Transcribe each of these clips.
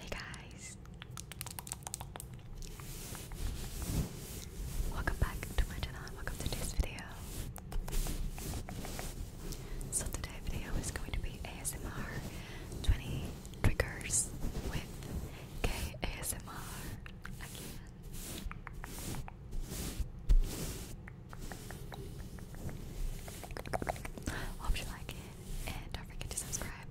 Hey guys! Welcome back to my channel welcome to today's video. So today's video is going to be ASMR 20 triggers with KASMR again. Hope you like it and don't forget to subscribe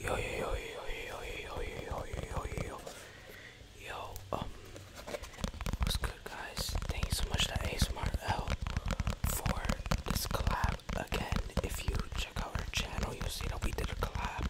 Yo yo yo yo yo yo yo yo yo yo um what's good guys thank you so much to ASMRL for this collab again if you check out her channel you'll see that we did a collab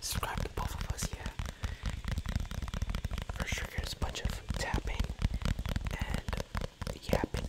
subscribe to both of us, yeah. First trigger is a bunch of tapping and yapping.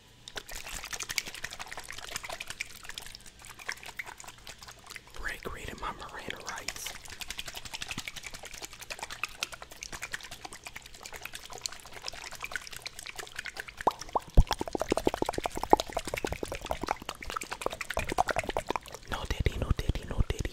Rick reading my Miranda rights. No diddy, no diddy, no diddy.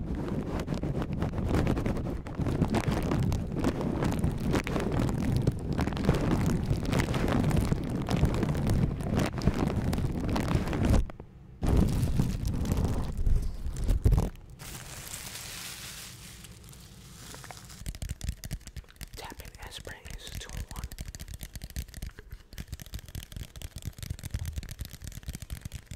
Tapping and spraying is two in one.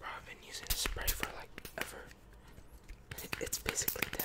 I've been using this spray for like ever. It's basically dead.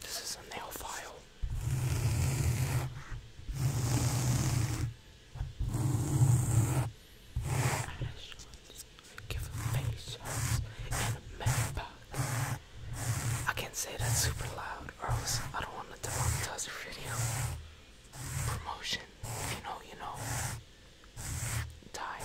This is a nail file. Ashes, give patience and a I can't say that super loud or else I don't want to demonetize the video. Promotion, you know, you know die.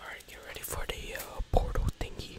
Alright, get ready for the uh, portal thingy.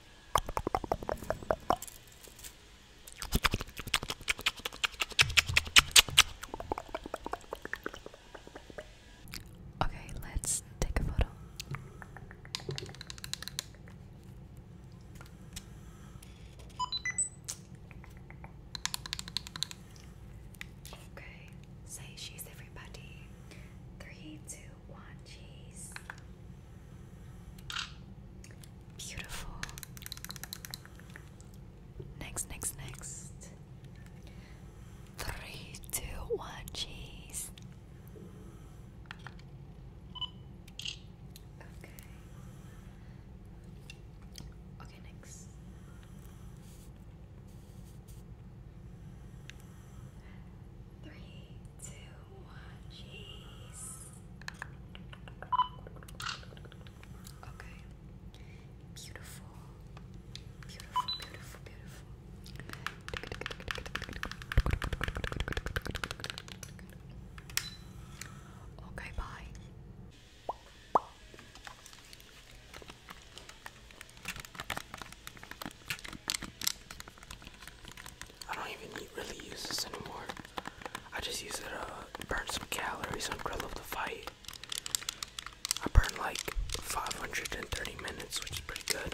Okay, let's take a photo. Okay, say she's everybody. Three, two, one cheese. Beautiful. Next, next, next. Three, two, one, cheese. Okay. Okay, next. Three, two, one, cheese. Okay. Beautiful. Beautiful, beautiful, beautiful. Okay, bye. I don't even really use this anymore. I just use it to uh, burn some calories on Grillo the Fight. I burned like 530 minutes, which is pretty good.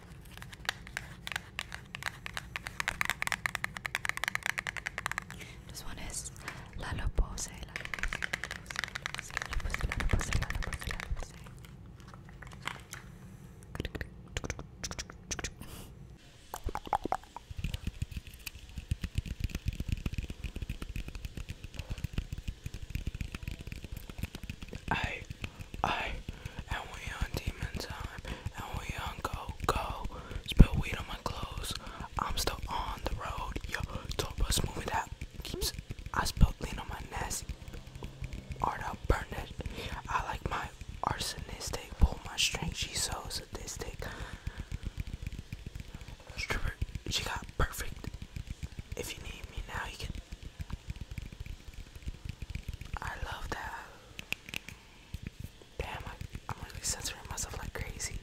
This one is Lalo Pose. I, I and we on demon time, and we on go, go. Spill weed on my clothes, I'm still on the road. Yo, Don't us moving that keeps. I spill lean on my nest, art out burned it. I like my arsonist, they pull my string, she's so sadistic. Stripper, she got perfect. If you need me now, you can I love that. Damn, I, am really censoring myself like crazy.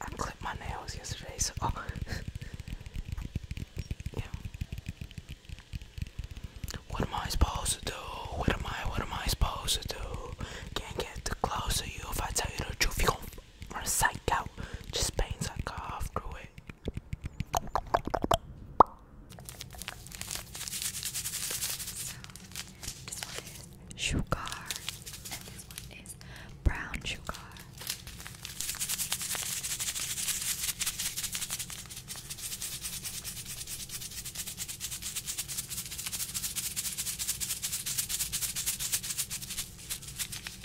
I clipped my nails yesterday, so. Oh. yeah. What am I supposed to do? What am I? What am I supposed to do? Can't get too close to you. If I tell you the truth, you gon' run psych Just pain psych off it. So, this sugar, and this one is brown sugar.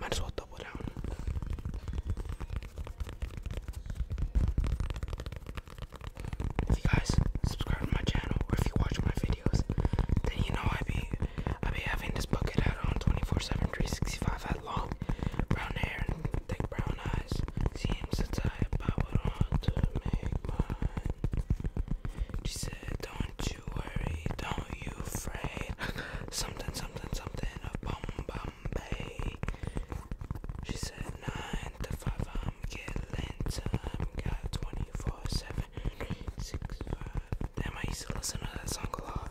Might as well double down. If you guys subscribe to my channel or if you watch my videos, then you know I be I be having this bucket hat on 24/7, 365 hat long, brown hair Thick brown eyes seems the type I would want to make mine. She said, Don't you worry, don't you afraid? something, something, something, a bomb, bombay. She said, Nine to five, I'm getting time. Got 24, 7, 6, 5. Damn, I used to listen to that song a lot.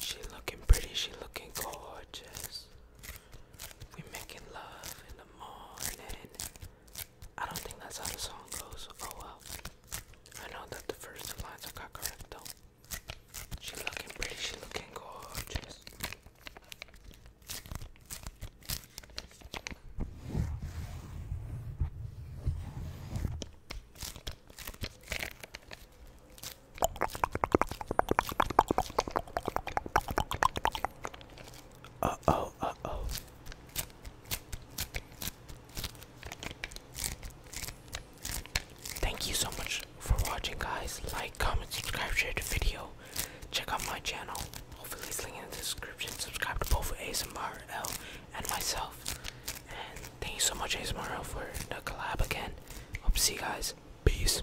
She looking pretty, she looking gorgeous. We making love in the morning. I don't think that's how the song goes. Oh well. I know that the first two lines I correct though. She looking pretty, she looking gorgeous. Uh oh, uh oh. Thank you so much for watching, guys. Like, comment, subscribe, share the video. Check out my channel. Hopefully, it's linked in the description. Subscribe to both ASMRL and myself. And thank you so much, ASMRL, for the collab again. Hope to see you guys. Peace.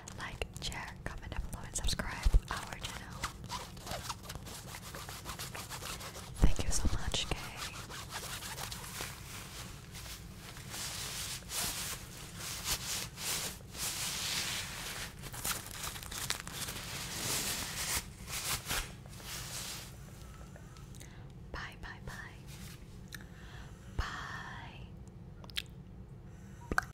like, share, comment down below, and subscribe our channel. Thank you so much, Kay. Bye, bye, bye. Bye.